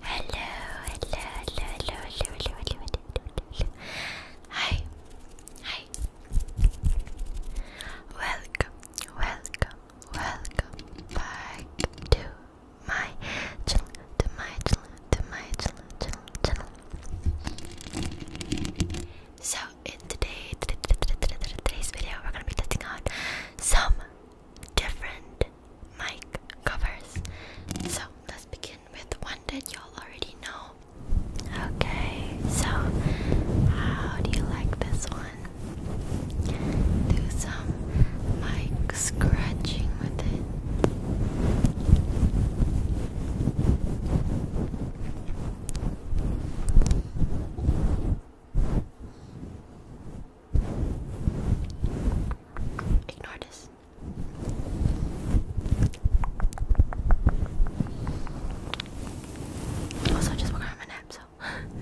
Hello, hello, hello, hello, hello, hello, hello, hello. Hi, hi. Welcome, welcome, welcome back to my channel, to my channel, to my channel, channel, So in today, today's video, we're gonna be testing out some different and covers. So let's begin with one that y'all already know. Okay, so how do you like this one? Do some mic scratching with it. Ignore this. Also, I just woke up from a nap, so. and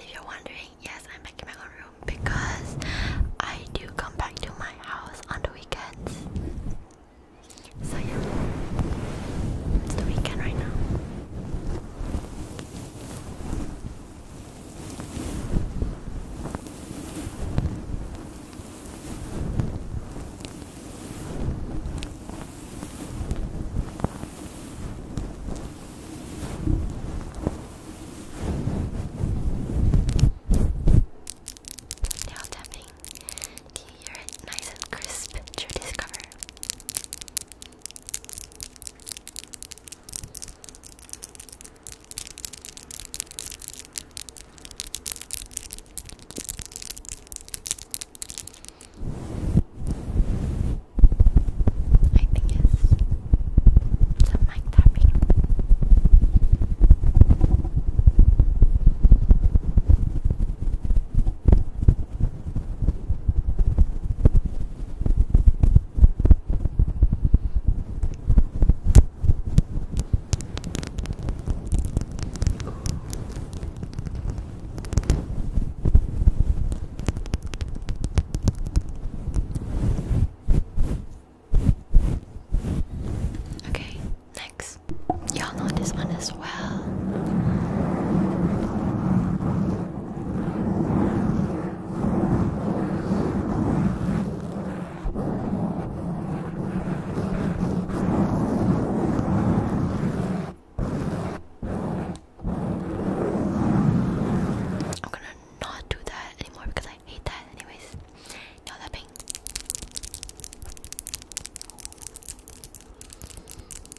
if you're wondering, yes, I'm back my own room because I do come back to my house on the weekends. So, yeah, it's the weekend right now. Now tapping. Do you hear it nice and crisp through cover? I think it's some mic tapping. Okay, next. Y'all know this one as well. I'm gonna not do that anymore because I hate that anyways. Now that pain.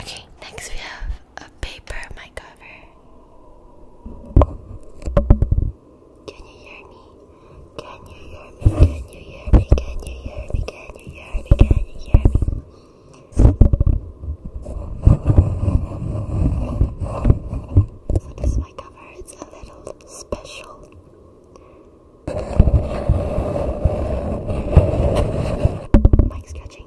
Okay, next we have a paper mic cover. Can you hear me? Can you hear me? Can you hear me? Can you hear me? Can you hear me? Can you hear me? So this mic cover is a little special. Mic scratching.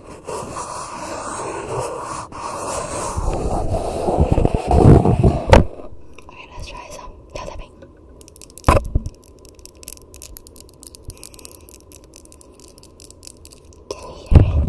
Okay, let's try some tail tapping. Can you hear it? Okay,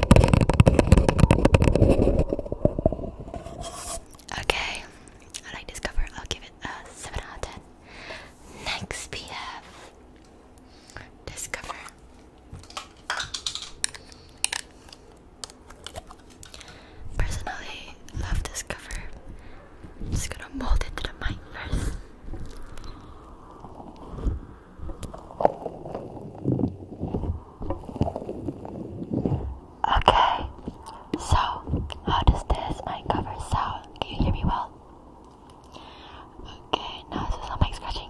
Okay, I like this cover. I'll give it a 7 out of 10. Next, we this cover. Personally, love this cover. just gonna mold it to the mic first. Okay, so how does this mic cover sound? Can you hear me well? Okay, now so is some mic scratching.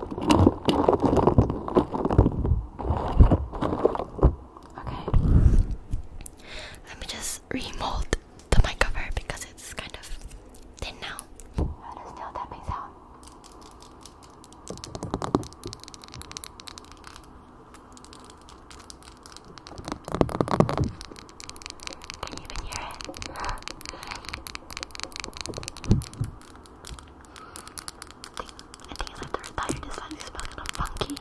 Okay. Let me just remold the mic cover because it's kind of thin now. That is still tapping sound. Can you even hear it? I think I it's like the entire design smells kind of funky.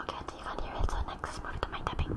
Okay, I think you can hear it, so next move to my tapping.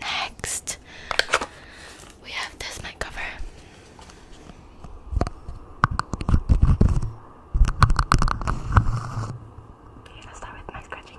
Next, we have this mic cover. Okay, let's start with my scratching.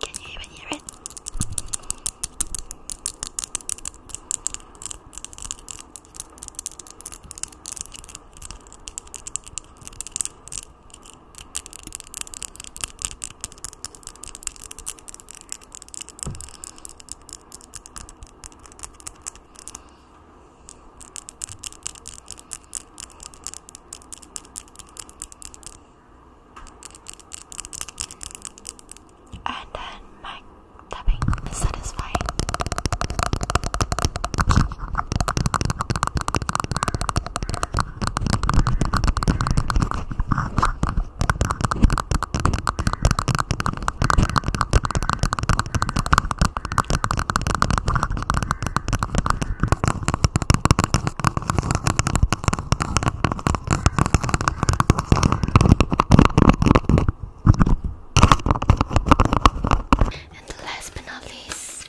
Can you even hear it? And then my tapping is satisfying. And last but not least,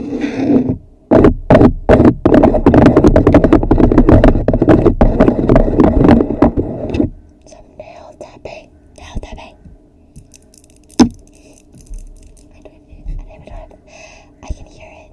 Some nail tapping. Nail tapping. I don't even, I don't even know. I can hear it.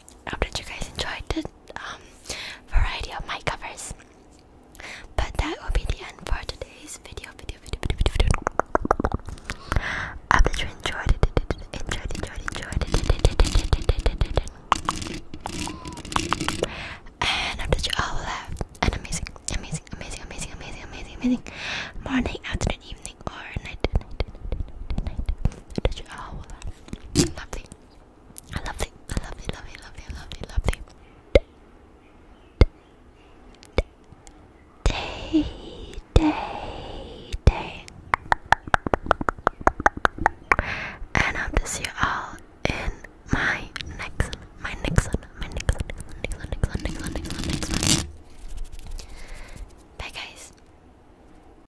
I hope that you guys enjoyed the um, variety of my covers. But that will be the end for today's video. Video, video, video, video, video. I hope that you enjoyed it. Enjoyed, enjoyed, enjoyed it. And I hope that you all have an amazing, amazing, amazing, amazing, amazing, amazing, amazing morning, afternoon, evening, or night. night, night, night, night, night. I hope that you all will have lovely, I love it. I love it. Love Love it. Love Love it. Day, day, day. And I'll see you all in my next, my next one, my next one, next one, next next one, next next one. Bye, guys.